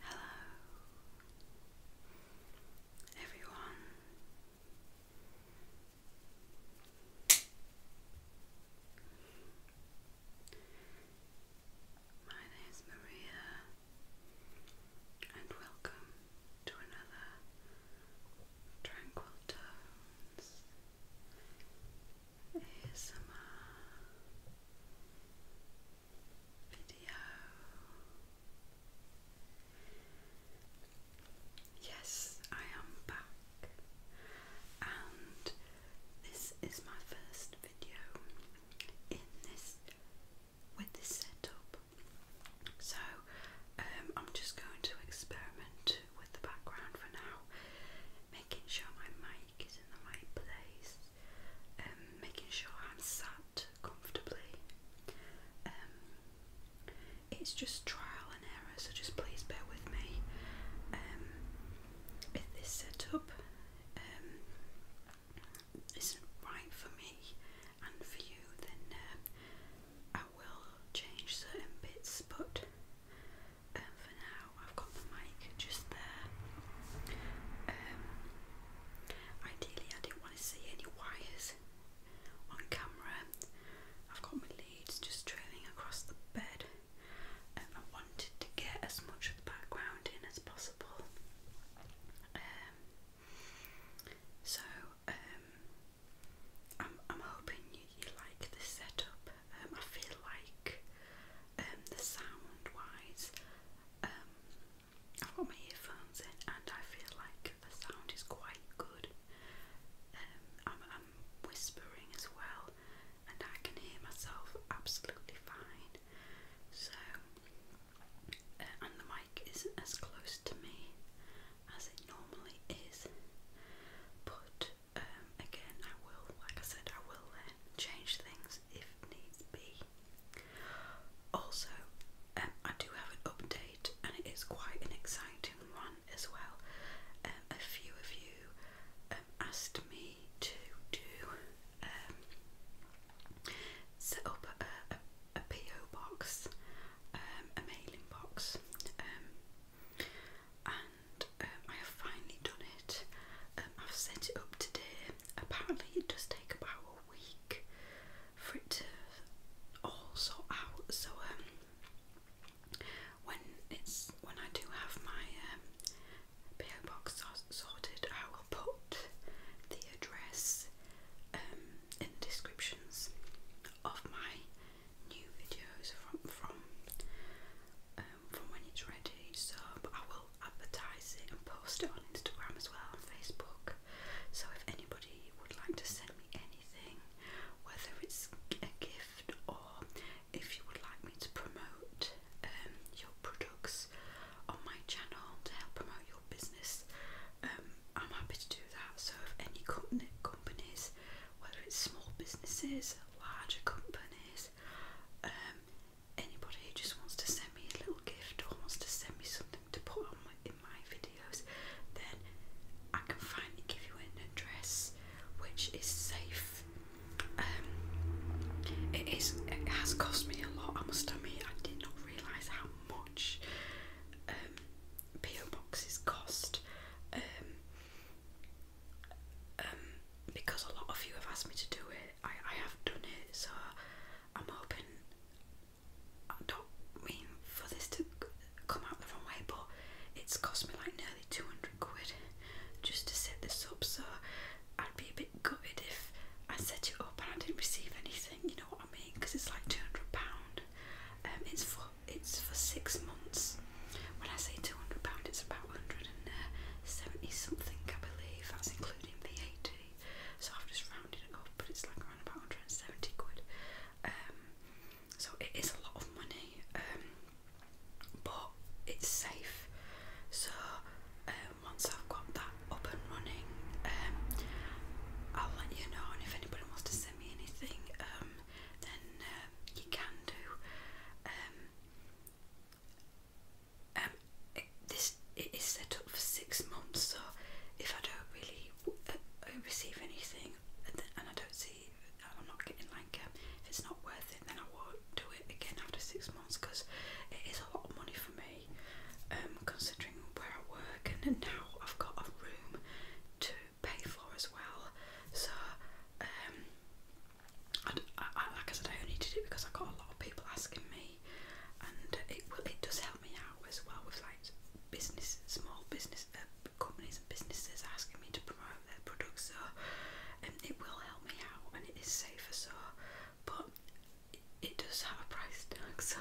Hello, everyone. My name is Maria, and welcome to another Tranquil ASMR video. Yes, I am back, and this is my first video in this with this setup. So um, I'm just going to experiment with the background for now. Making sure my mic is in the right place, um, making sure I'm sat comfortably. Um, it's just trial and error, so just please bear with me. Um, if this setup um, isn't right for me and for you, then uh, I will change certain bits, but um, for now, I've got the mic just there. Um, ideally, I didn't want to see any wires on camera. I've got my leads just trailing across the bed. Um, I wanted to get as much of the background in as possible. Um, so, I'm, I'm hoping you, you like the setup. Um, I feel like um, the sound wise, um, I've got my earphones in and I feel like the sound is quite good. I'm, I'm whispering as well and I can hear myself absolutely fine. So, uh, and the mic isn't as close to me as it normally is, but um, again I will, like I said, I will change things if needs be. Also, um, I do have an update and it is quite an exciting one as well. Um, a few of you um, asked me to do set up a, a, PO box, a mailing box and um, I have finally done it. Um, I've set it up today. Apparently, it does take about a week for it to all sort out. So um, when it's when I do have my um, PO box sorted, I will put the address um, in the descriptions of my new videos from from um, from when it's ready. So, I will advertise it and post it on Instagram as well on Facebook. So if anybody would like to send me anything, whether it's a gift or if you would like me to promote um, your products on my channel to help promote your business, um, I'm happy to do that. So if any companies whether it's small businesses, larger companies, um, anybody who just wants to send me a little gift or wants to send me something to put on my, in my videos, then I can finally give you an address which is safe. Um, it is. It has cost me a lot. I must admit, I did not realise how much um, PO boxes cost. Um, because a lot of you have asked me to do it, I, I have done it, so I'm hoping. I don't mean for this to come out the wrong way, but it's cost me like nearly 200 quid just to set this up, so I'd be a bit gutted if I set it up and I didn't receive anything, you know what I mean? Because it's like £200. Um, it's for it's for six months. When I say two hundred pound, it's about hundred and seventy something, I believe. That's including VAT. So I've just rounded it off, but it's like around about hundred and seventy quid. Um, so it is a lot of money, um, but it's safe. So um, once I've got that up and running, I'll let you know. And if anybody wants to send me anything, then uh, you can do. Um, um, this it is set up for six months, so if I don't really uh, receive anything and I don't see, I'm not getting like, um, if it's not worth it, then I won't do it again after six months because it is a lot of money for me, um, considering where I work and now I've got a room to pay for as well. So, um, I, I, like I said, I only did it because I got a lot of people asking me, and it it does help me out as well with like business, small business uh, companies and businesses asking me to promote their products. So, um, it will help me out, and it is safer. So, but it, it does have a price tag. So,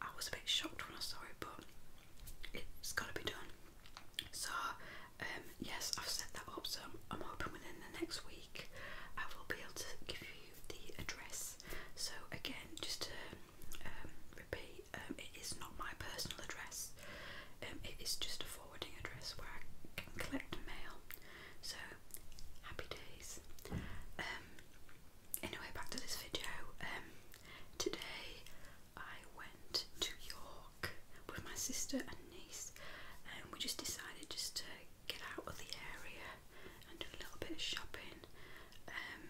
I was a bit shocked when I saw it, but it's got to be done. So, um, yes, I've set that up. So, I'm hoping within the next week I will be able to give you the address. So, again, just to um, repeat, um, it is not my personal address, it is just a forwarding address where I can collect mail. So, happy days. anyway, back to this video. today I went to York with my sister and niece, and we just decided just to get out of the area and do a little bit of shopping. Um,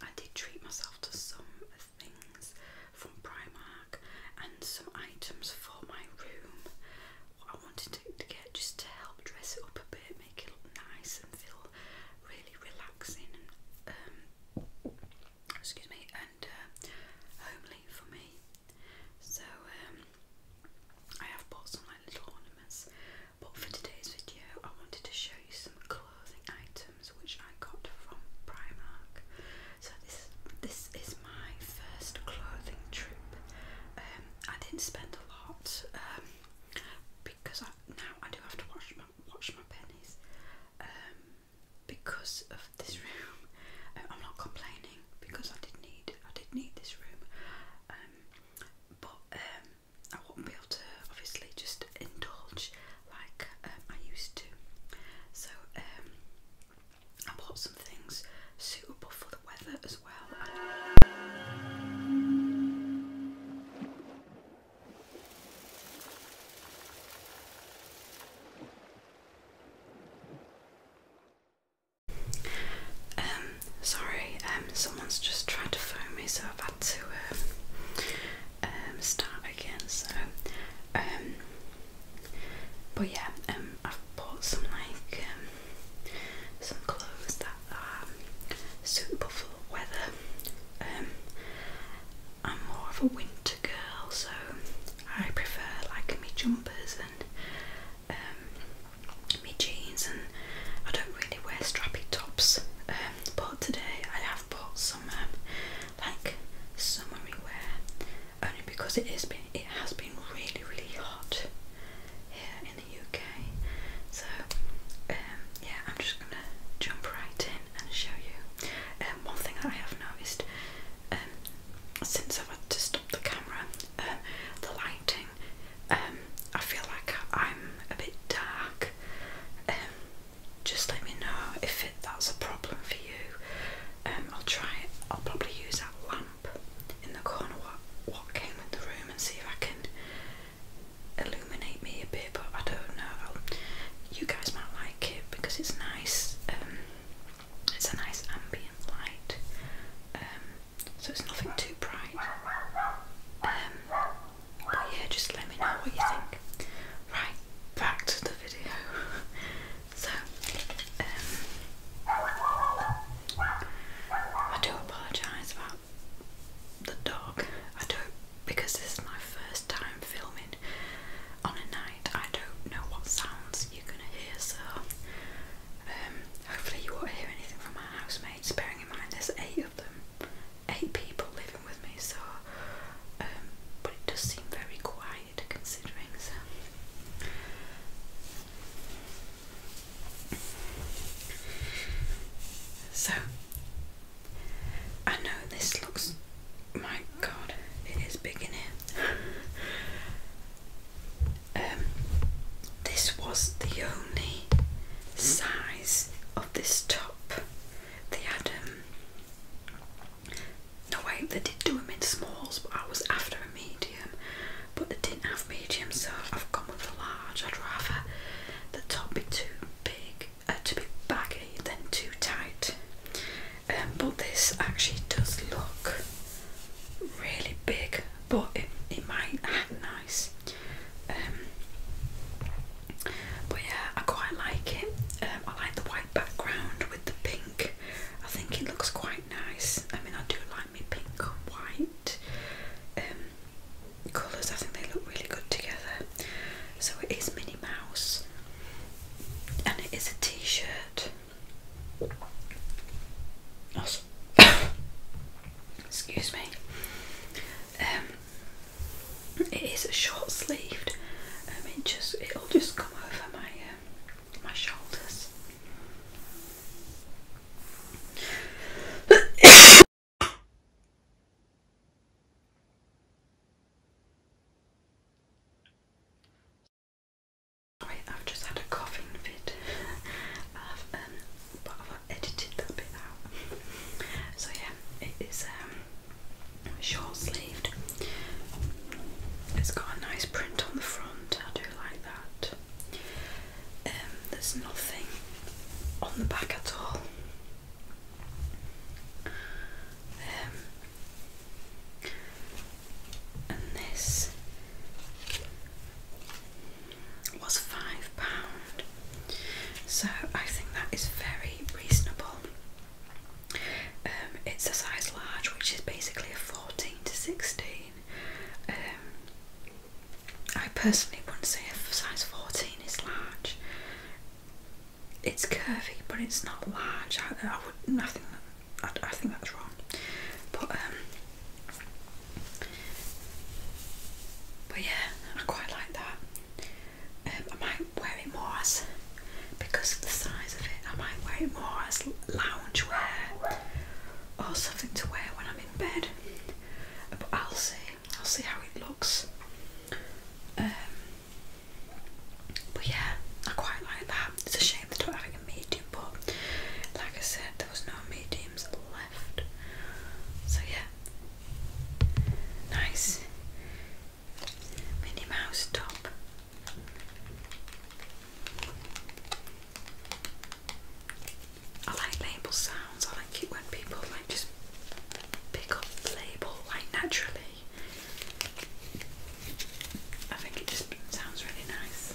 I did treat myself to some things from Primark and some items for my room. What I wanted to, to get just to help dress it up a bit, make it look nice and feel really relaxing and um, excuse me, and uh, homely for me. So um, I have bought some like little ornaments, but for today's video, I wanted to show you some clothing items which I got from Primark. So this this is my first clothing trip. Um, I didn't spend a lot um, because I, now I do have to watch my watch my pennies. Um, because of this room. Uh, I'm not complaining because I did need I did need this room, um, but um, I won't be able to obviously just indulge like um, I used to. So I bought some things suitable for the weather as well. Um, sorry, um, someone's just tried to phone me, so I've had to um, um, start again. So, um, but yeah, um, I've bought some like um, some clothes that are suitable for the weather. Um, I'm more of a winter girl, so I prefer like me jumpers and um, me jeans, and I don't really wear strappy tops. Um, but today I have bought some um, like summery wear, only because it has been really really hot here in the UK. So um, yeah, I'm just gonna jump right in and show you. Um, one thing that I have noticed um, since I've had to stop the camera, um, the lighting, I feel like I'm a bit dark. just let me know if that's a problem for you. I'll try. I'll probably use that lamp in the corner what came with the room and see if I can illuminate me a bit, but I don't know. You guys might like it because it's nice. Um, it's a nice ambient light, um, so it's nothing too bright. Um, but yeah, just let me know what you think. Right, back to the video. so, I do apologise about the dog. I do because this is my first time filming on a night, I don't know what sounds you're going to hear, so um, hopefully you won't hear anything from my housemates, bearing in mind there's eight of them, eight people living with me, so, um, but it does seem very quiet considering, So, I know this looks. My god, it is big in here. um, this was the only size of this top. They had, um, no wait, they did do them in smalls, but I was after a medium, but they didn't have medium, so I've gone with a large. I'd rather the top be too big uh, to be baggy than too tight. Um, but this actually does look really big, but it, it might hang nice. Um, but yeah, I quite like it. Um, I like the white background with the pink. I think it looks quite nice. I mean, I do like my pink and white colours. I think they look really good together. So it is Minnie Mouse and it is a t shirt. excuse me. Um, it is a short sleeved. Um, I mean, just it'll just come over my um, my shoulders. I've just had a coughing fit. Um, but I've edited that bit out. so yeah, it is um, short sleeved. It's got a nice print on the front. I do like that. Um, there's nothing on the back at all. Um, and this was five pound. So I think that is very reasonable. Um, it's a size large, which is basically a fourteen to sixteen. Um, I personally wouldn't say a size fourteen is large it's curvy, but it's not large. I, would, I think, I, think that's wrong. But um, but yeah, I quite like that. Um, I might wear it more as because of the size of it. I might wear it more as lounge wear or something to wear when I'm in bed. But I'll see. I'll see how it looks. Um, but yeah, I quite like that. It's a shame they don't have a medium, but like I said, there was no mediums left. So yeah, nice Minnie Mouse top. I like label sounds. I like it when people just pick up the label like naturally. I think it just sounds really nice.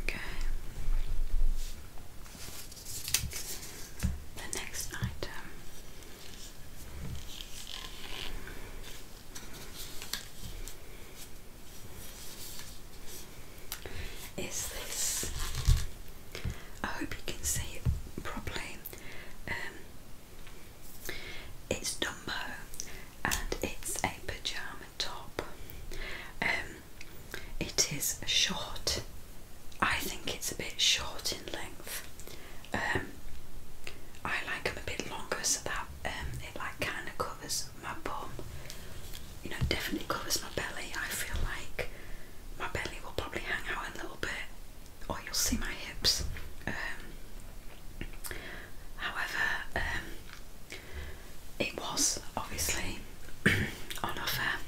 Okay. The next item is this. I hope you can see it properly. Um, it's Dumbo and it's a pajama top. Um, it is short I think it's a bit short in length. Um, I like them a bit longer so that um, it like kind of covers my bum. You know, definitely covers my belly. I feel like my belly will probably hang out a little bit, or you'll see my hips. Um, however, it was obviously on offer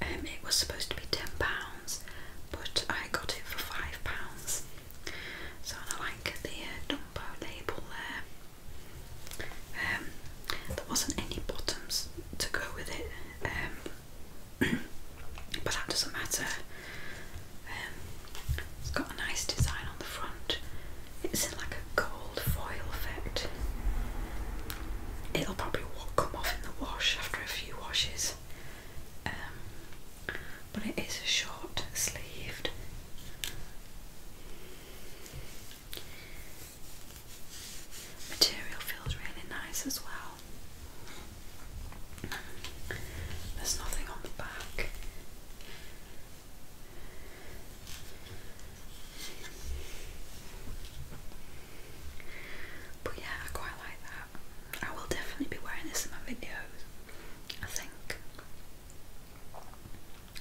um, it was supposed to be ten pounds, but I got it for five pounds. So I like the uh, label there. Um, there wasn't any bottoms to go with it, um, but that doesn't matter. it's got a nice design on the front. It's in like a gold foil effect it'll probably come off in the wash after a few washes. Um, but it is a short sleeved. Material feels really nice as well. There's nothing on the back. But yeah, I quite like that. I will definitely be wearing this in my videos, I think.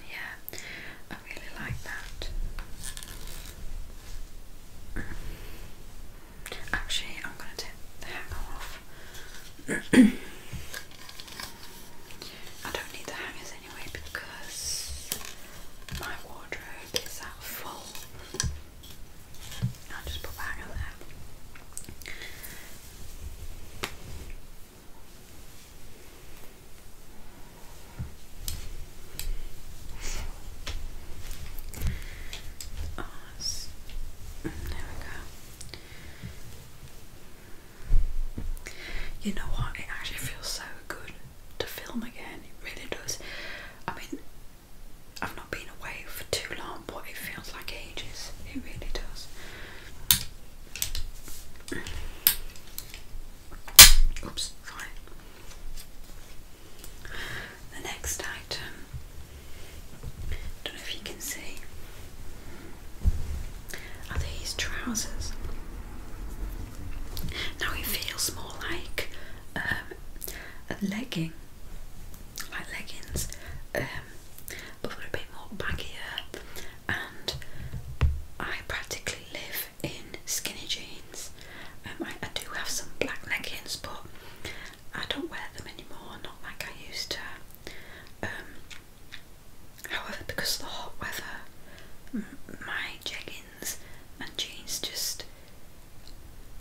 Yeah, I really like that. Actually, I'm going to take the hanger off. I don't need the hangers anyway because my wardrobe is full. I'll just put that over there. Oh, there we go. You know what? It actually feels so good to film again. It really does. I mean, I've not been away for too long, but it feels like ages. It really does. Oops, right. The next item, don't know if you can see, are these trousers. Now it feels more like um, and legging, like leggings, um, but were a bit more baggier. And I practically live in skinny jeans. Um, I, do have some black leggings, but I don't wear them anymore, not like I used to. Um, however, because of the hot weather, my jeggings jeans, and jeans just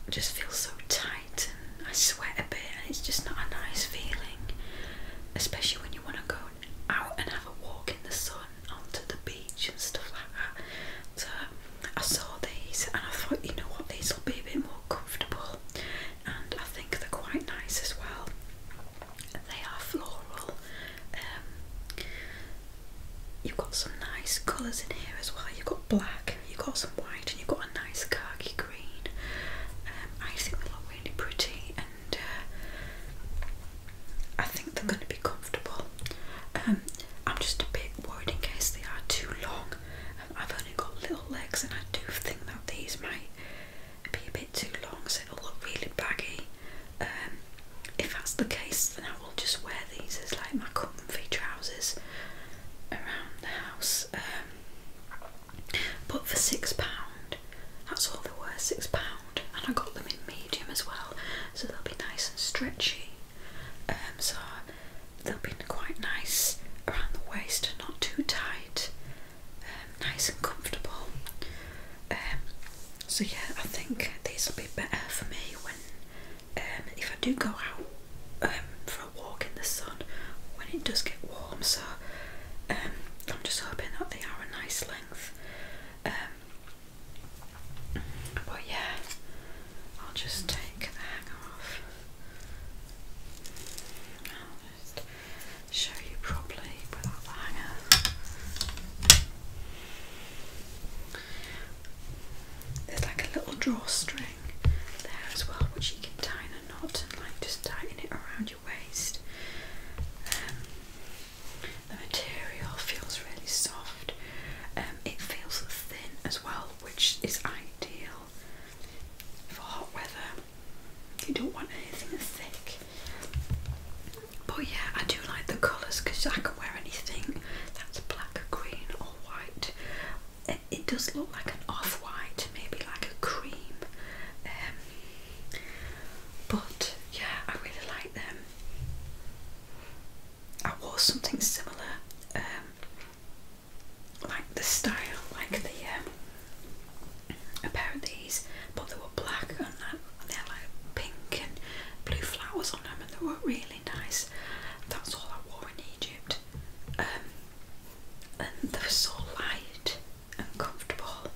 just feel so tight, and I sweat a bit, and it's just not a nice feeling, especially when you want to go out and have a walk in the sun onto the beach and stuff like that. So I saw these, and I thought, you know what, these will be a bit more comfortable, and I think they're quite nice as well. They are floral. Um, You've got some nice colours in here as well. You've got black, you've got some white, and you've got a nice khaki green. Um, I think they look really pretty, and uh, I think they're going to be comfortable. Um, I'm just a bit worried in case they are too long. Um, I've only got little legs, and I do think that these might be a bit too long, so they will look really baggy if that's the case, then I will just wear these as like my comfy trousers around the house. Um, but for six pound, that's all they were, six pound, and I got them in medium as well, so they'll be nice and stretchy. Um, so they'll be quite nice around the waist, not too tight, um, nice and comfortable. so yeah, I think these will be better for me when um, if I do go out um, for a walk in the sun when it does get warm, so um, I'm just hoping that they are a nice length. but yeah, I'll just take the hanger off. I'll just show you properly without the hanger. There's like a little drawstring there as well, which you can tie in a knot and like just tighten it around your waist. Um, the material feels really soft. Um, it feels thin as well, which is ideal for hot weather. You don't want anything thick. But yeah, I do do like the colours because I can wear anything that's black, green, or white. It, does look like an off white, maybe like a cream. Um, but yeah, I really like them. I wore something similar, um, like the style, like the um, pair of these, but they were black and, and they had like pink and blue flowers on them, and they were really really nice. That's all I wore in Egypt. Um, and they were so light and comfortable.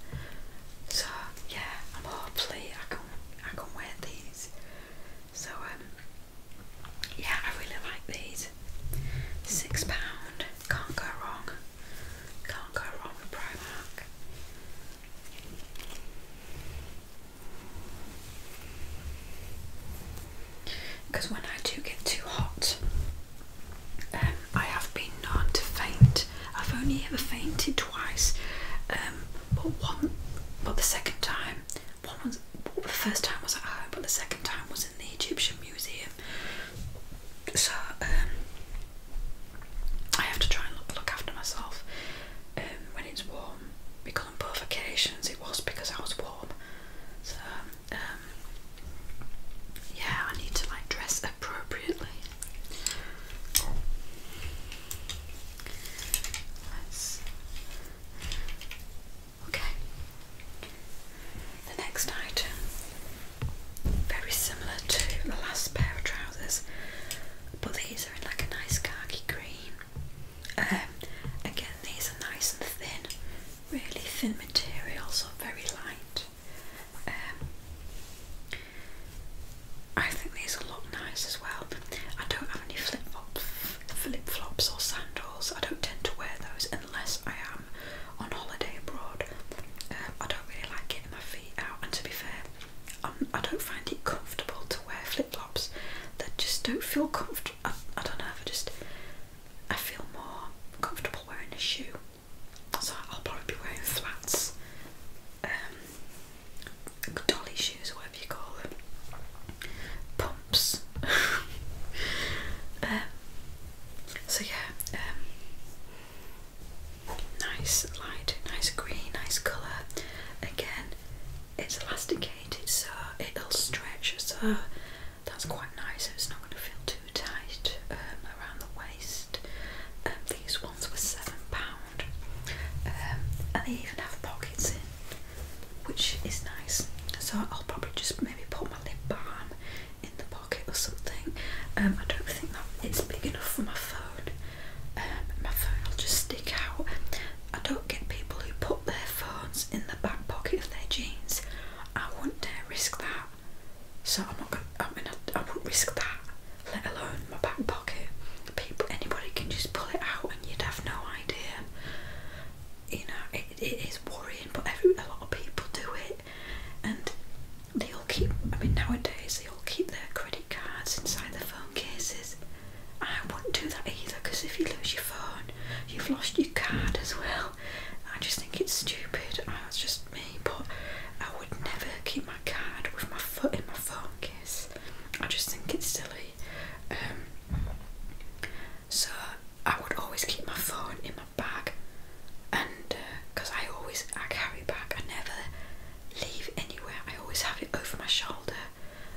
So yeah, I'm hopefully I can I can wear these. So um, yeah, I really like these. Six pound, can't go wrong. Can't go wrong with Primark. Because when I do get too hot, um, I have been known to faint. I've only ever fainted twice, um, but one, but the second time, one was well, the first time was at home, but the second time was in the Egyptian Museum. So um, I have to try and look, after myself when it's warm because on both occasions it was because I was warm. So, um, yeah, I need to like dress appropriately. let Okay. The next item, very similar to the last pair of trousers, but these are in like a nice khaki green. Um, again, these are nice and thin, really thin materials, so very light. Um, I think these will look nice as well. I don't have any flip flops, flip flops or sandals. I don't tend to wear those unless I am on holiday abroad. Um, I don't really like getting my feet out, and to be fair, I'm, um, I do not find it comfortable to wear flip flops that just don't feel comfortable. I, don't know if I just I feel more comfortable wearing a shoe, so I'll probably be wearing flats, um, dolly shoes, whatever you call them, pumps. Um, so yeah, nice light, nice green, nice colour. Again, it's elasticated so it'll stretch so that's quite nice it's not going to feel too tight um, around the waist um, these ones were £7 um, and they even have pockets in which is nice so I'll probably just maybe put my lip balm in the pocket or something I don't think that it's big enough for my phone um, my phone will just stick out. I don't get people who put their phones in the back pocket of their jeans. I wouldn't dare risk that. So I'm not gonna. I mean, I, wouldn't risk that. Let alone my back pocket. People, anybody can just pull it out, and you'd have no idea. You know, it, it is worrying, but every a lot of people do it, and they all keep. I mean, nowadays they all keep their credit cards inside their phone cases. I wouldn't do that either because if you lose your phone, you've lost your card as well. I just think it's stupid. That's ah, just me, but I would never keep my card with my foot in my phone case. I just think it's silly. Um, so I would always keep my phone in my bag, and because uh, I always I carry it back, I never leave anywhere. I always have it over my shoulder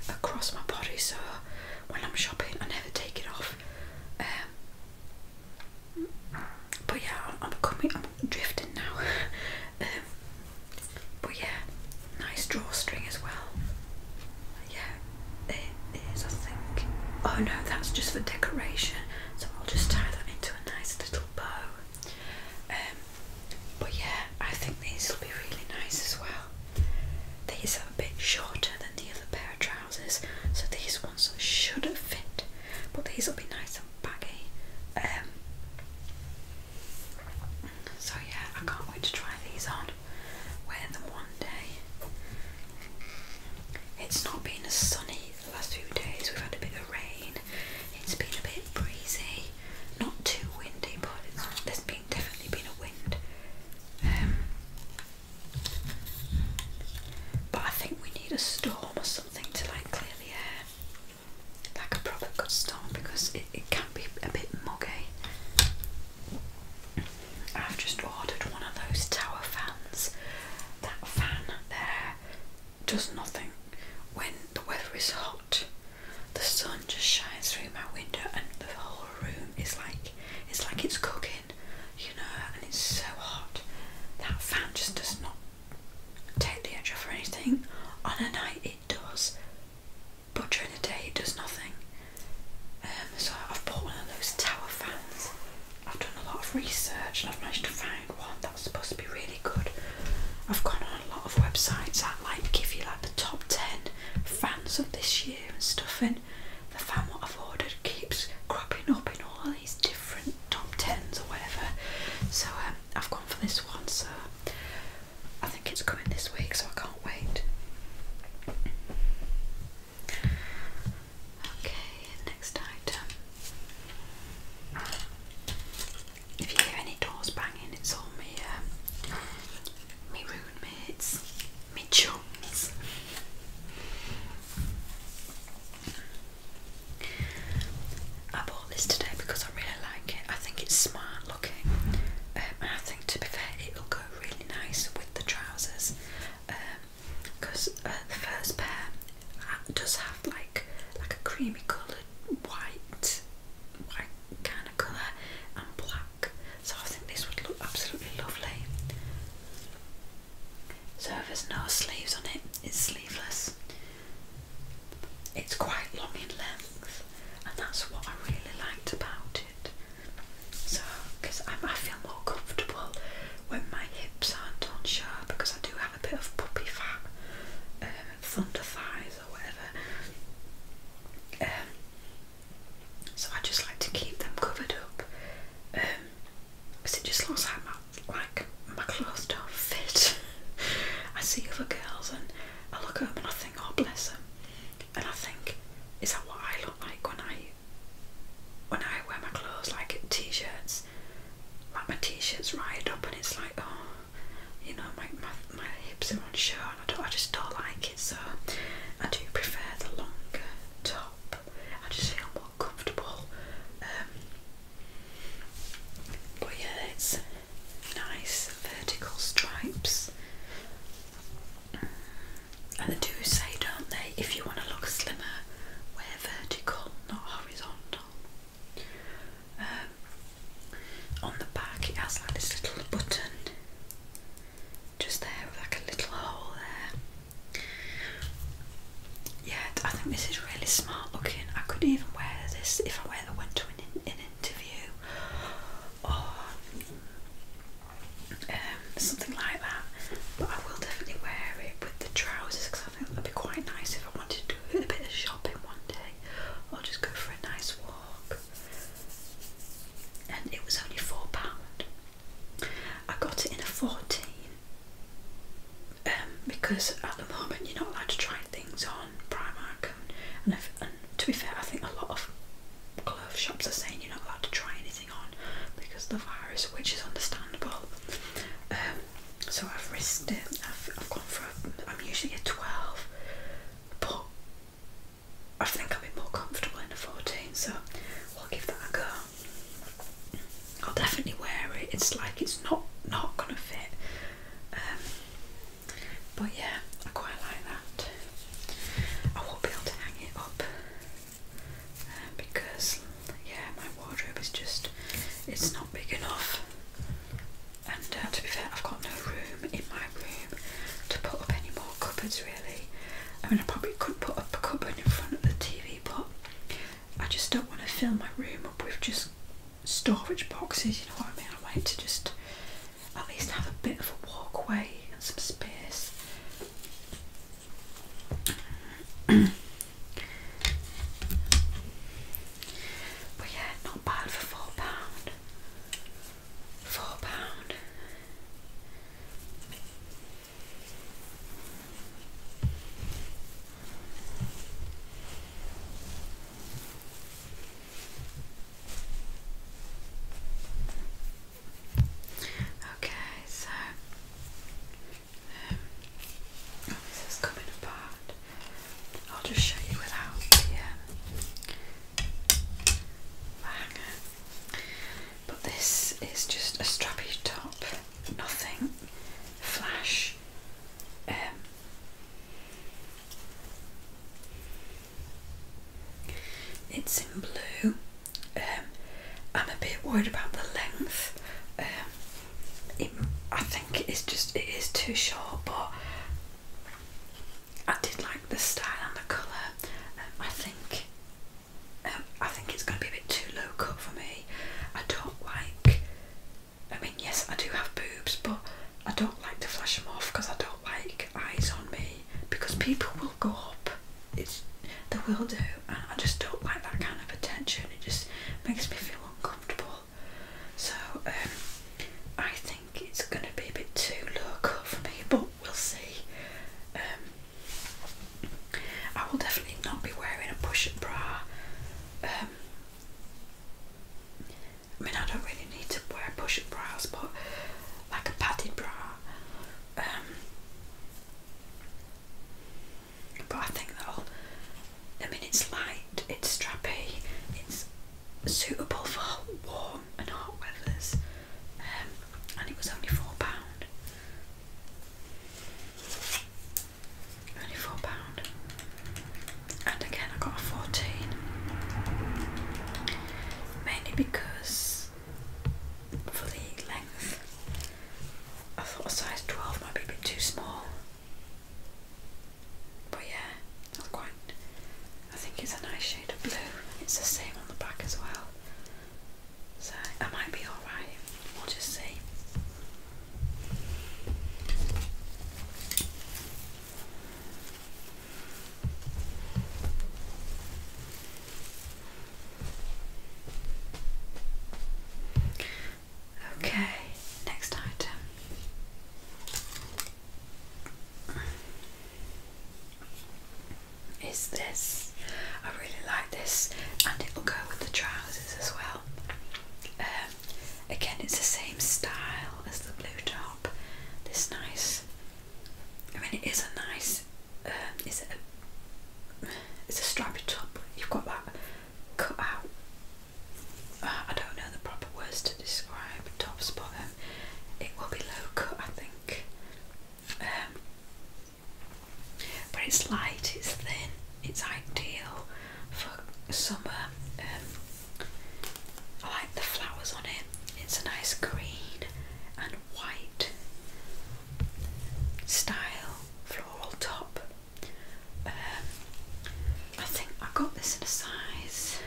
across my body so when I'm shopping I never take it off. Um, but yeah, I'm, coming, I'm drifting now. Um, but yeah, nice drawstring as well. Yeah, it is, I think. Oh no, that's just for decoration, so I'll just tie that into a nice little bow. Um, but yeah, I think these will be really nice as well. These are a bit shorter than the other pair of trousers, so these ones should fit. But these will be nice and baggy. Um, so yeah, I can't wait to try these on. Wear them one day. It's not been as sunny the last few days. We've had a bit of rain. It's been a bit breezy. Not too windy, but there's been definitely been a wind. Um, but I think we need a storm or something to like clear the air, like a proper good storm, because it, it can be a bit muggy. I've just ordered one of those tower fans. That fan there does nothing when the weather is hot the sun just shines through my window and the whole room is like it's like it's cooking, you know, and it's so hot. That fan just does not take the edge off or anything. On a night it does, but during the day it does nothing. Um, so I've bought one of those tower fans. I've done a lot of research and I've managed to find one that's supposed to be really good. I've gone on a lot of websites that like give you like the top 10 fans of this year and stuff and the fan what I've ordered keeps cropping up in all these different top 10s or whatever so um, I've gone for this one so I think it's coming this week so I can't wait okay next item if you hear any doors banging, it's all me, uh, me roommates, me chums. I bought this today because I really like it. I think it's smart looking, um, I think to be fair, it'll go really nice with the trousers. Because um, uh, the first pair does have like like a creamy coloured white, white kind Technicolor and black. So I think this would look absolutely lovely. So there's no sleeves on it, it's sleeveless. It's quite long in length, and that's what I really liked about it. So, because I feel more comfortable when my hips aren't on show because I do have a bit of puppy fat um, thunder thighs or whatever. Um, so I just like to keep them covered up because um, it just looks like my my clothes don't fit. I see other girls and I look at them and I think, oh bless them, and I think, is that what I look like when I when I wear my clothes like t-shirts? Like my t-shirts right up and it's like, oh, you know, my, my, hips are on show and I, don't, I just don't like it, so I do prefer the longer top. I just feel more comfortable. Um, but yeah, it's nice vertical stripes. And they do say, don't they, if you want to look slimmer, wear vertical, not horizontal. Um, on the back, it has like this little button just there with like a little hole there. Yeah, I think this is really smart looking. I could even wear this if I wear the went to an, in, interview or um, something like that. But I will definitely wear it with the trousers because I think that'd be quite nice if I wanted to do a bit of shopping one day or just go for a nice walk and it was only four pound. I got it in a fourteen um, because at the moment you're not allowed to try things on Primark, and, to be fair, I think a lot of clothes shops are saying you're not allowed to try anything on because of the virus, which is understandable. Um, so I've risked it. I've, I've gone for. A, I'm usually a twelve but I think I'll be more comfortable in a 14, so i will give that a go. I'll definitely wear it. It's like it's not not gonna fit, um, but yeah, I quite like that. I won't be able to hang it up um, because yeah, my wardrobe is just it's not big enough. And uh, to be fair, I've got no room in my room to put up any more cupboards really. I mean, I probably could put up a cupboard in front of the TV, but I just don't want to fill my room up with just storage boxes, you know what I mean? I want to just at least have a bit of a walkway and some space. But yeah, not bad for four pound. Four pound. Okay, so um, this is coming apart. I'll just show you without the, um, the hanger. But this is just a strappy top, nothing flash. Um, it's in blue. Um, I'm a bit worried about the length. Um, I think it's just it is too short, but I did like the style and the colour. Um, I think um, I think it's going to be a bit too low cut for me. I don't like. I mean, yes, I do have boobs, but I don't like to flash them off because I don't like eyes on me because people will go up. It's they will do, I just don't like that kind of attention. It just makes me feel uncomfortable. So um, I think it's going to be a bit too low for me, but we'll see. Um, I will definitely not be wearing a push-up bra. Um, I mean, I don't really need to wear a push-up bra, but like a padded bra. but I think that'll. I mean, it's light, it's strappy, it's suitable for warm and hot weathers, um, and it was only four pound. Only four pound, and again I got a fourteen, mainly because for the length, I thought a size twelve might be a bit too small. But yeah, that's quite. I think it's a nice shade of blue. It's the same on the back as well. So I might be alright. We'll just see. Okay, next item is this. I really like this and it will go with the trousers as well. Um, again, it's the same style as the blue top. This nice, I mean, it is a nice, um, is it a, it's a strappy top. You've got that cut out I don't know the proper words to describe top spot. Um, it will be low cut, I think. Um, but it's light, it's thin, it's ideal for summer. Um, I like the flowers on it. It's a nice green and white style floral top. Um, I think I got this in a size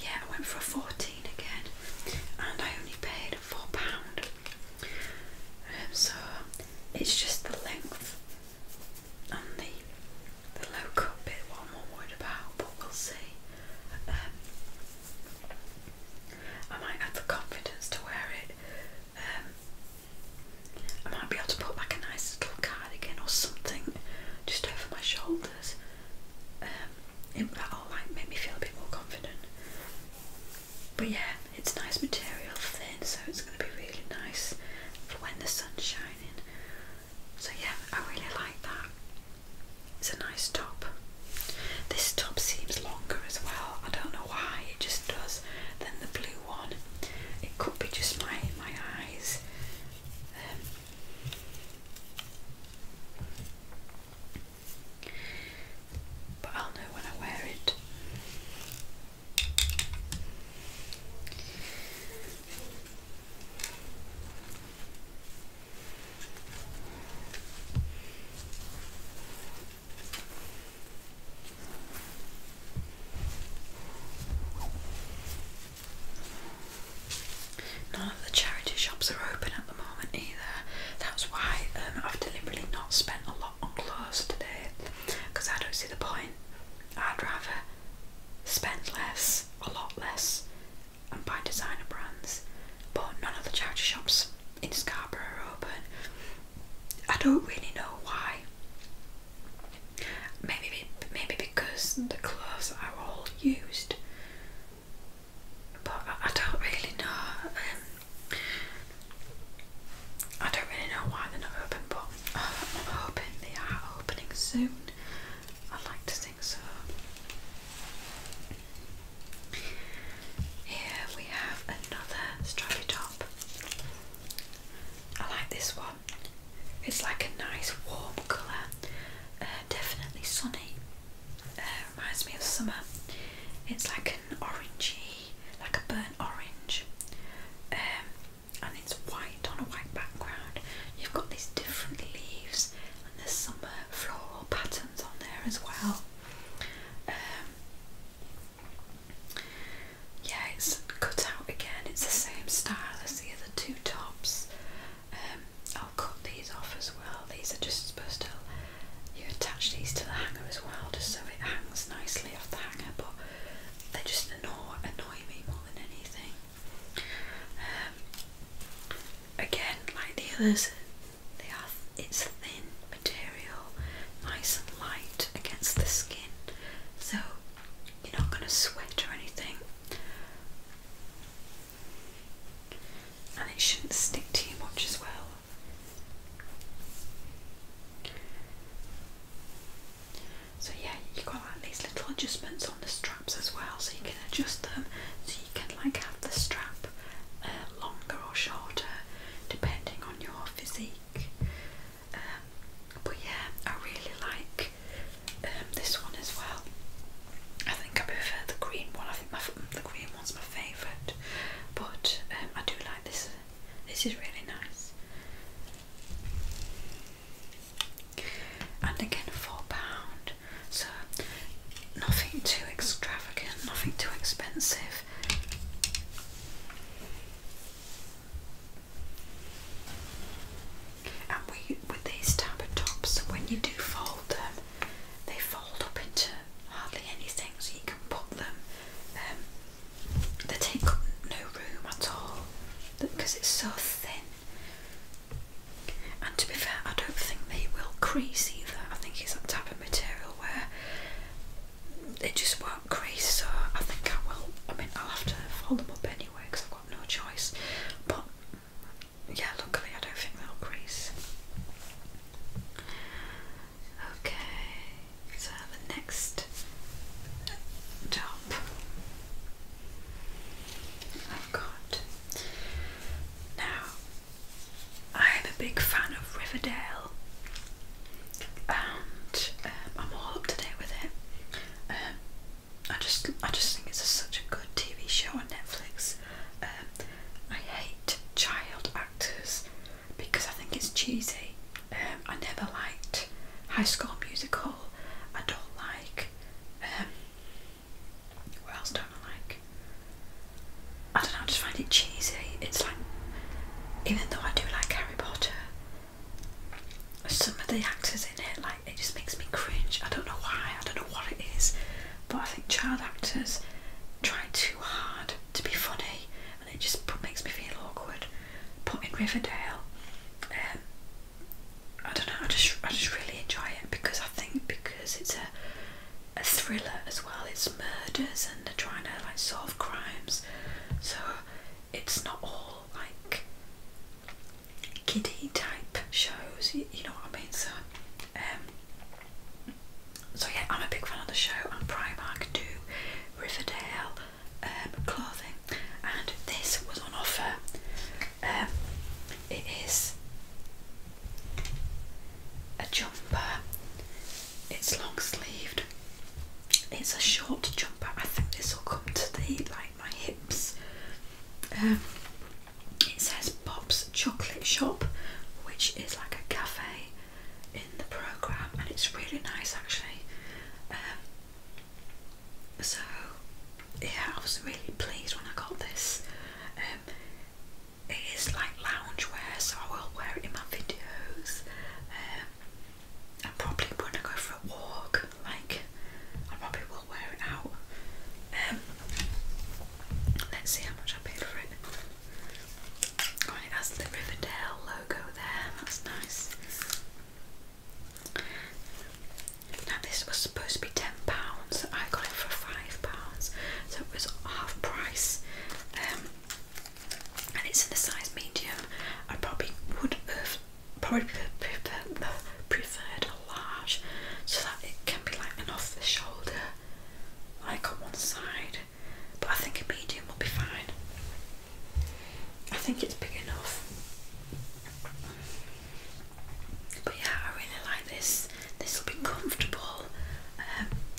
yeah, I went for a 14 again, and I only paid four pound. Um, so it's just the length and the the low cut bit what more worried about, but we'll see. Um, I might have the confidence to wear it. Um, I might be able to put like a nice little cap or something just over my shoulders. Um, it, that all like made me feel a bit more confident. But yeah, it's nice material, thin, so it's going to be really nice for when the sun's shining. So yeah, I really like that. It's a nice top. This top seems longer as well. I don't know why, it just does. Than the blue one. It could be just my my eyes. Um, but I'll know when I wear it. None of the charity shops are open at the moment either. That's why um, I've deliberately not spent a lot on clothes today because I don't see the point. I'd rather spend less, a lot less, and buy designer brands. But none of the charity shops in Scarborough are open. I don't really know why. Maybe, maybe because the clothes are all used, but I, don't really know. Um, I don't really know why they're not open, but I'm hoping they are opening soon. I'd like to think so. Here we have another strappy top. I like this one. It's like a nice warm colour, uh, definitely sunny. Uh, reminds me of summer. It's like an orangey, like a burnt orange, um, and it's white on a white background. You've got these different leaves and there's summer floral patterns on there as well. Um, yeah, it's cut out again. It's the same style as the other the two tops. Um, I'll cut these off as well. These are just supposed to you attach these to the hanger as well, just so it hangs nicely off the hanger. But they just annoy, annoy me more than anything. Um, again, like the others, they are. It's thin material, nice and light against the skin, so you're not going to sweat or anything and it shouldn't stick to you much as well. So, yeah, you've got like these little adjustments on the straps as well, so you can adjust them so you can like have the strap uh, longer or shorter depending on your physique. Um, but yeah, I really like um, this one as well. I think I prefer the green one. I think the green one's my favourite, but um, I do like this. Uh, this is really nice. And again, four pound. So nothing too extravagant, nothing too expensive. And we, with these type of tops, when you do fold them, they fold up into hardly anything, so you can put them. Um, they take up no room at all because it's so thin. And to be fair, I don't think they will crease either. I think it's that type of material where it just won't crease. So I think I will. I mean, I'll have to fold them up anyway because I've got no choice. But yeah, luckily I don't think they'll crease. Okay, so the next top I've got now. I'm a big fan of Riverdale, and um, I'm all up to date with it. Um, I just I just think it's such a good TV show on Netflix. Um, I hate child actors because I think it's cheesy. Um, I never liked High School Musical. I don't like. Um, what else don't I like? I don't know. I just find it cheesy. It's like, even though I do like Harry Potter, some of the actors in it, like it just makes me cringe. I don't know why, I don't know what it is, but I think child actors try too hard to be funny and it just makes me feel awkward. But in Riverdale, um, I don't know, I just, I just really enjoy it because I think because it's a, a thriller as well, it's murders and they're trying to like solve crimes, so it's not all like kiddie type shows, you, know what I mean? So, um, so yeah, I'm a big fan of the show, and Primark do Riverdale um, clothing, and this was on offer. Um, it is a jumper, it's long sleeved, it's a short jumper. I think this will come to the like my hips. Um, it says Bob's Chocolate Shop, which is like a cafe in the programme, and it's really nice actually. Um, so, yeah, I was really pleased when I got this. Um, it is like lounge wear, so I will wear it in my videos. I probably when I go for a walk, like I probably will wear it out. Um, let's see how much I paid for it. Oh, it has the Riverdale logo there. That's nice. Now this was supposed to be ten pounds. I got it for five pounds, so it was half price. Um, and it's in the size medium. I probably would have probably prefer, preferred a large so that it can be like an off the shoulder, like on one side. But I think a medium will be fine. I think it's big enough. But yeah, I really like this. This will be comfortable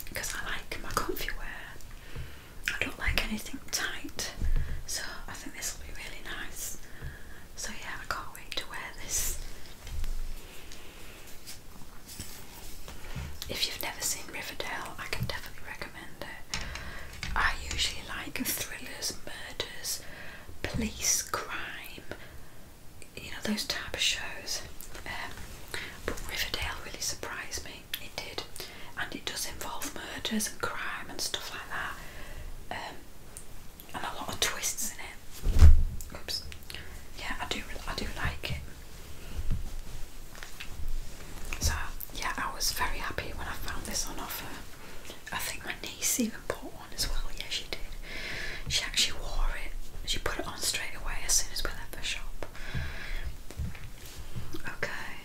because um, I like my comfy wear. I don't like anything tight, so I I think this will be really nice. So, yeah, I can't wait to wear this. If you've never seen Riverdale, I can definitely recommend it. I usually like thrillers, murders, police, crime, you know, those type of shows. Um, but Riverdale really surprised me, it did. And it does involve murders and crime and stuff like that. Um, and a lot of twists in it. Oops. Yeah, I do. I do like it. So yeah, I was very happy when I found this on offer. I think my niece even bought one as well. Yeah, she did. She actually wore it. She put it on straight away as soon as we left the shop. Okay.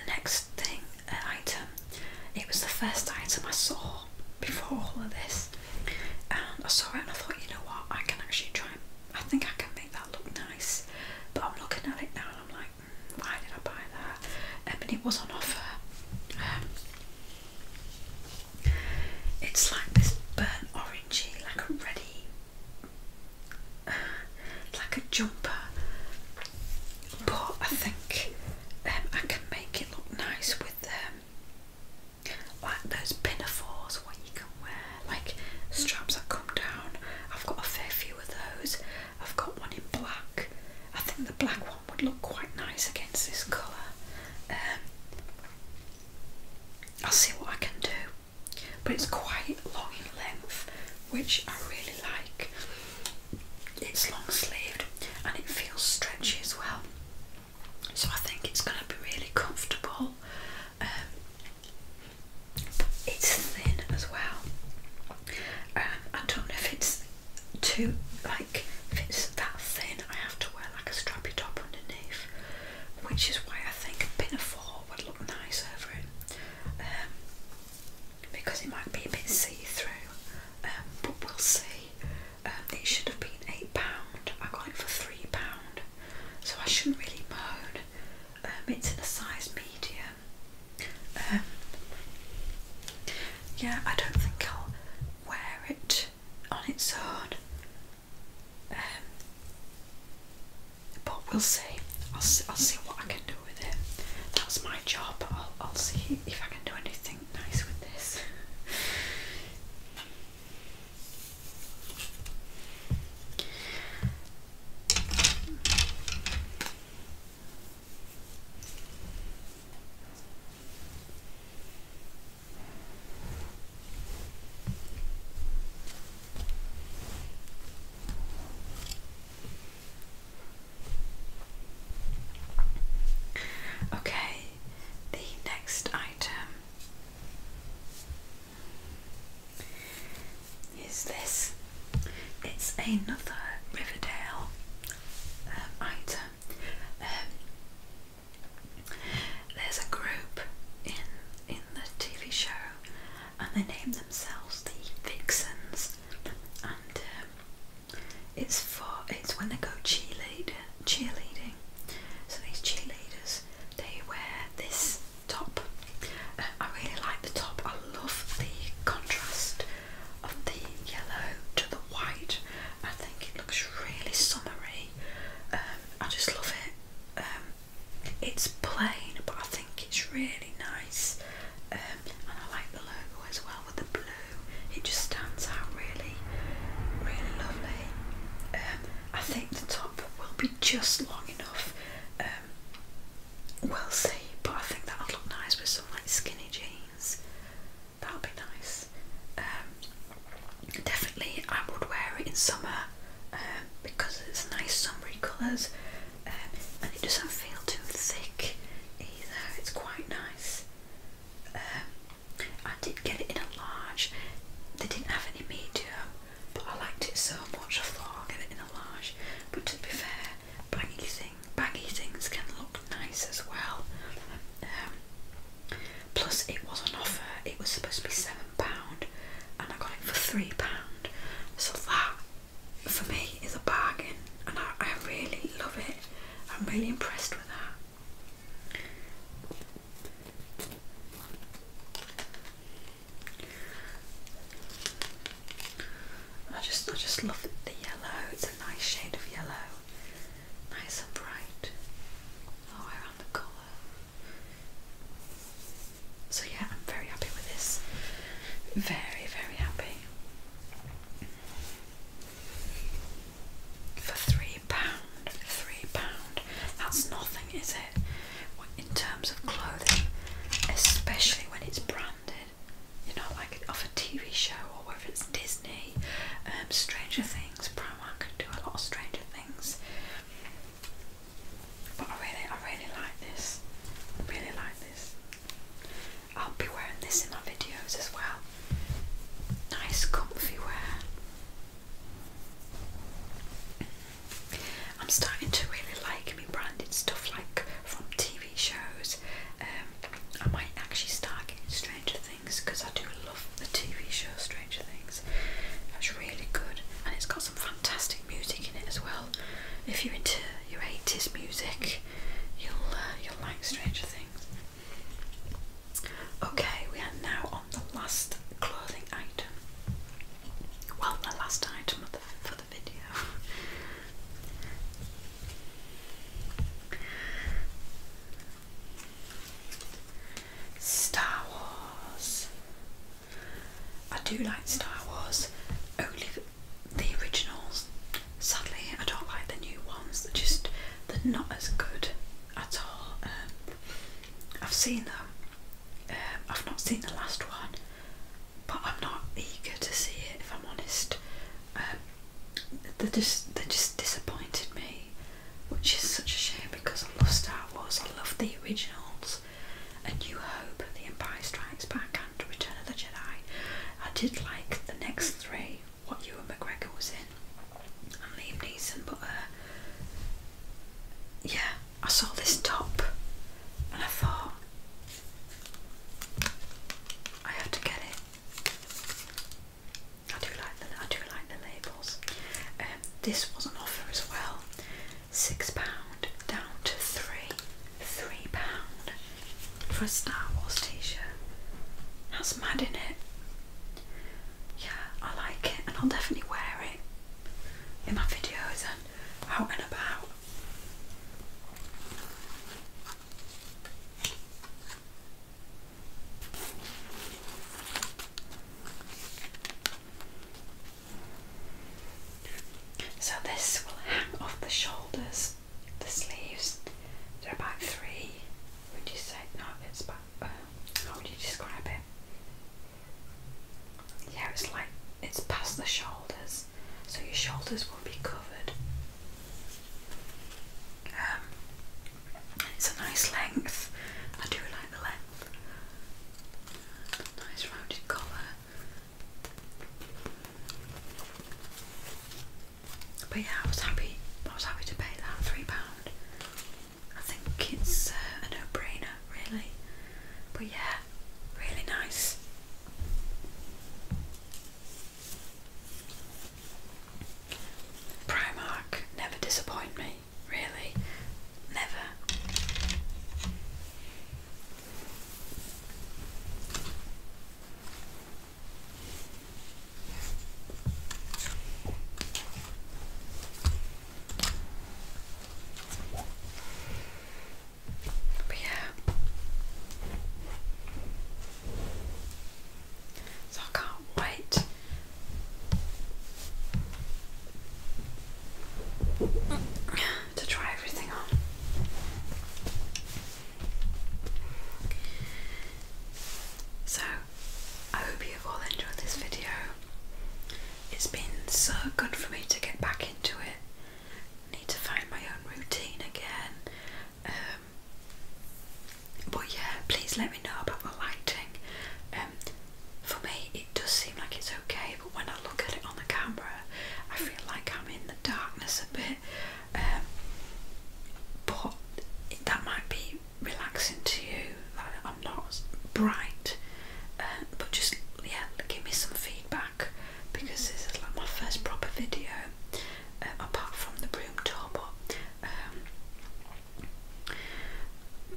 The next thing item. It was the first item I saw before all of this, and I saw it and I thought, you know what, I can actually try. And, I think I can make that look nice, but I'm looking at it now and I'm like, hmm, why did I buy that? I mean, it was on offer. Um, it's like this burnt orangey, like a ready. Uh, like a jumper, but I think um, I can make it look nice with um, like those pinafores what you can wear, like straps that come down. I've got a fair few of those. I've got one in black. I think the black one would look quite nice against this colour. Um, I'll see what I can do, but it's quite long in length, which I really like it's long sleeved and it feels stretchy as well. So I think it's going to be really comfortable. Um, it's thin as well. Um, I don't know if it's too like if it's that thin. I have to wear like a strappy top underneath, which is why I think a pinafore would look nice over it. Um, because it might be a bit see-through, um, but we'll see. Um, it should have been £8, I got it for £3, so I shouldn't really moan. Um, it's in a size medium. yeah, I don't think I'll wear it on its own. but we'll see. I'll see, I'll see what I can do with it. That's my job. I'll see if I can do anything nice with this. Okay, the next item is this. It's another Riverdale um, item. Um, there's a group in in the TV show, and they name themselves the Vixens. Um, it's for it's when they go cheerleader cheerleading. So these cheerleaders they wear this top. I really like the top. I love the contrast of the yellow to the white. I think it looks really summery. Um, I just love it. Um, it's plain, but I think it's really nice. Um, and I like the logo as well with the blue. It just stands out really, really lovely. Um, I think the top will be just long enough. Um, we'll see, but I think that'll look nice with some like skinny jeans. That'll be nice. definitely, I would wear it in summer because it's nice summery colours. Um, and it doesn't feel too thick either. It's quite nice. Um, I did get it in a large. They didn't have any medium, but I liked it so much. I thought I'll get it in a large. But to be fair, baggy thing, baggy things can look nice as well. Um, plus, it was on offer. It was supposed to be seven pound, and I got it for three pound. So that for me is a bargain and I, really love it. I'm really impressed with that. I just I just love the yellow. It's a nice shade of yellow. Nice and bright. All oh, around the colour. So yeah, I'm very happy with this. Very, very happy. For three pound, three pound. That's nothing, is it? In terms of clothing, especially when it's branded, you know, like off a TV show or whether it's Disney, um, Stranger Things, Primark could do a lot of Stranger Things. But I really, I really like this. I really like this. I'll be wearing this in my videos as well. Nice comfy wear. I'm starting to really like me branded stuff like from TV shows. Um, I might actually start getting Stranger Things because I do love the TV show Stranger Things. That's really good and it's got some fantastic music in it as well. If you're into your 80s music, you'll uh, you'll like Stranger Things. Okay, we are now on the last clothing item. Well, the last item for the video. Star Wars. I do like Star Wars only the originals. Sadly, I don't like the new ones. They're just they're not as good at all. Um, I've seen them. Um, I've not seen the last one, but I'm not eager to see it. If I'm honest, um, they just they just disappointed me, which is such a shame because I love Star Wars. I love the originals. A New Hope, The Empire Strikes Back, and Return of the Jedi. I did like the next three, what Ewan McGregor was in, and Liam Neeson, but uh, yeah, I saw this top and I thought, I have to get it. I do like the I do like the labels. Um, this was an offer as well, six pound down to three, three pound for a Star Wars t-shirt. That's mad in it. Yeah, I like it and I'll definitely wear it in my videos and out and about. So this will hang off the shoulders, the sleeves. They're about three. Would you say no? It's about uh, how would you describe it? Yeah, it's like it's past the shoulders, so your shoulders will be covered. Um, it's a nice length. I do like the length. Nice rounded collar. But yeah, I was happy. I was happy to pay that three pound. I think it's uh, a no-brainer, really. But yeah, really nice. Primark never disappoint me, really, never. But yeah. So I can't wait. Mm to try everything on. So, I hope you've all enjoyed this video. It's been so good for me to get back into it. I need to find my own routine again. Um, but yeah, please let me know about the lighting. Um, for me, it does seem like it's okay when I look at it on the camera, I feel like I'm in the darkness a bit. Um, but that might be relaxing to you. Like I'm not bright, uh, but just yeah, give me some feedback because this is like my first proper video uh, apart from the broom tour. But um,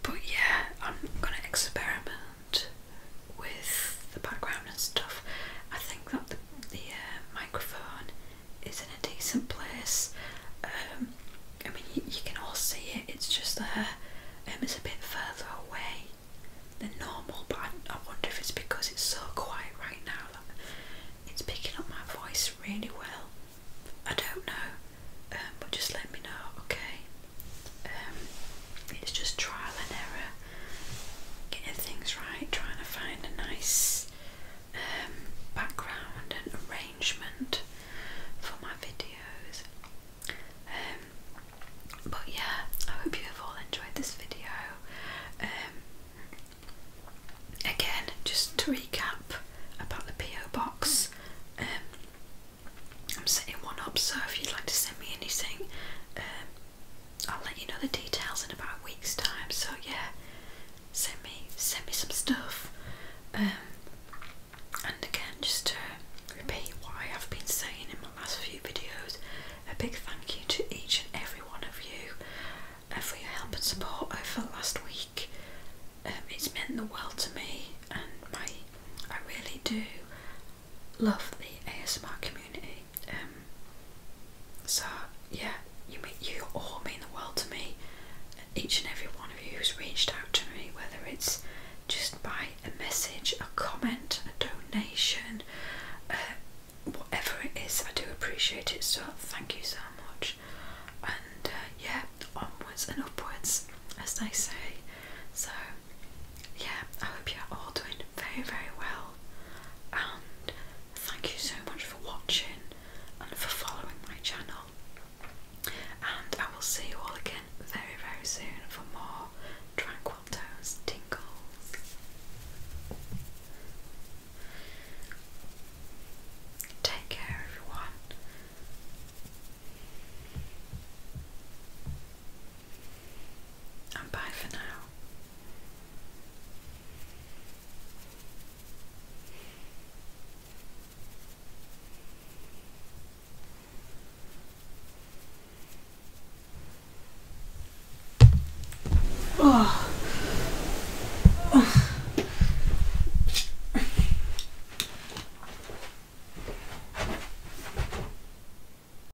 but yeah, I'm gonna experiment with the background and stuff. I think that the, the uh, microphone is in a decent place. Um, I mean, you, can all see it, it's just there. Um, it's a bit further away than normal, but I, wonder if it's because it's so quiet right now that it's picking up my voice really well. I don't know, um, but just let me know, okay? Um, it's just trial and error getting things right, trying to find a nice um, background and arrangement for my videos. Um, but yeah, I hope you have all enjoyed this video. Um, again, just to recap about the PO box, I'm setting one up. So if you'd like to send me anything, I'll let you know the details in about a week's time. So yeah, send me send me some stuff. Um, and again, just to repeat what I have been saying in my last few videos, a big thank you to each and every one of you uh, for your help and support over last week. Um, it's meant the world to me, and my I really do love the ASMR community. Um, so yeah, you mean, you all mean the world to me. Each and every one of you who's reached out to me, whether it's just by a message, a comment, a donation, uh, whatever it is, I do appreciate it. So thank you so much. And uh, yeah, onwards and upwards, as they say. So yeah, I hope you're all doing very, very well. And thank you so much for watching and for following my channel. And I will see you all again very, very soon for more Tranquil Tones Tingles. Take care, everyone and bye for now. Oh.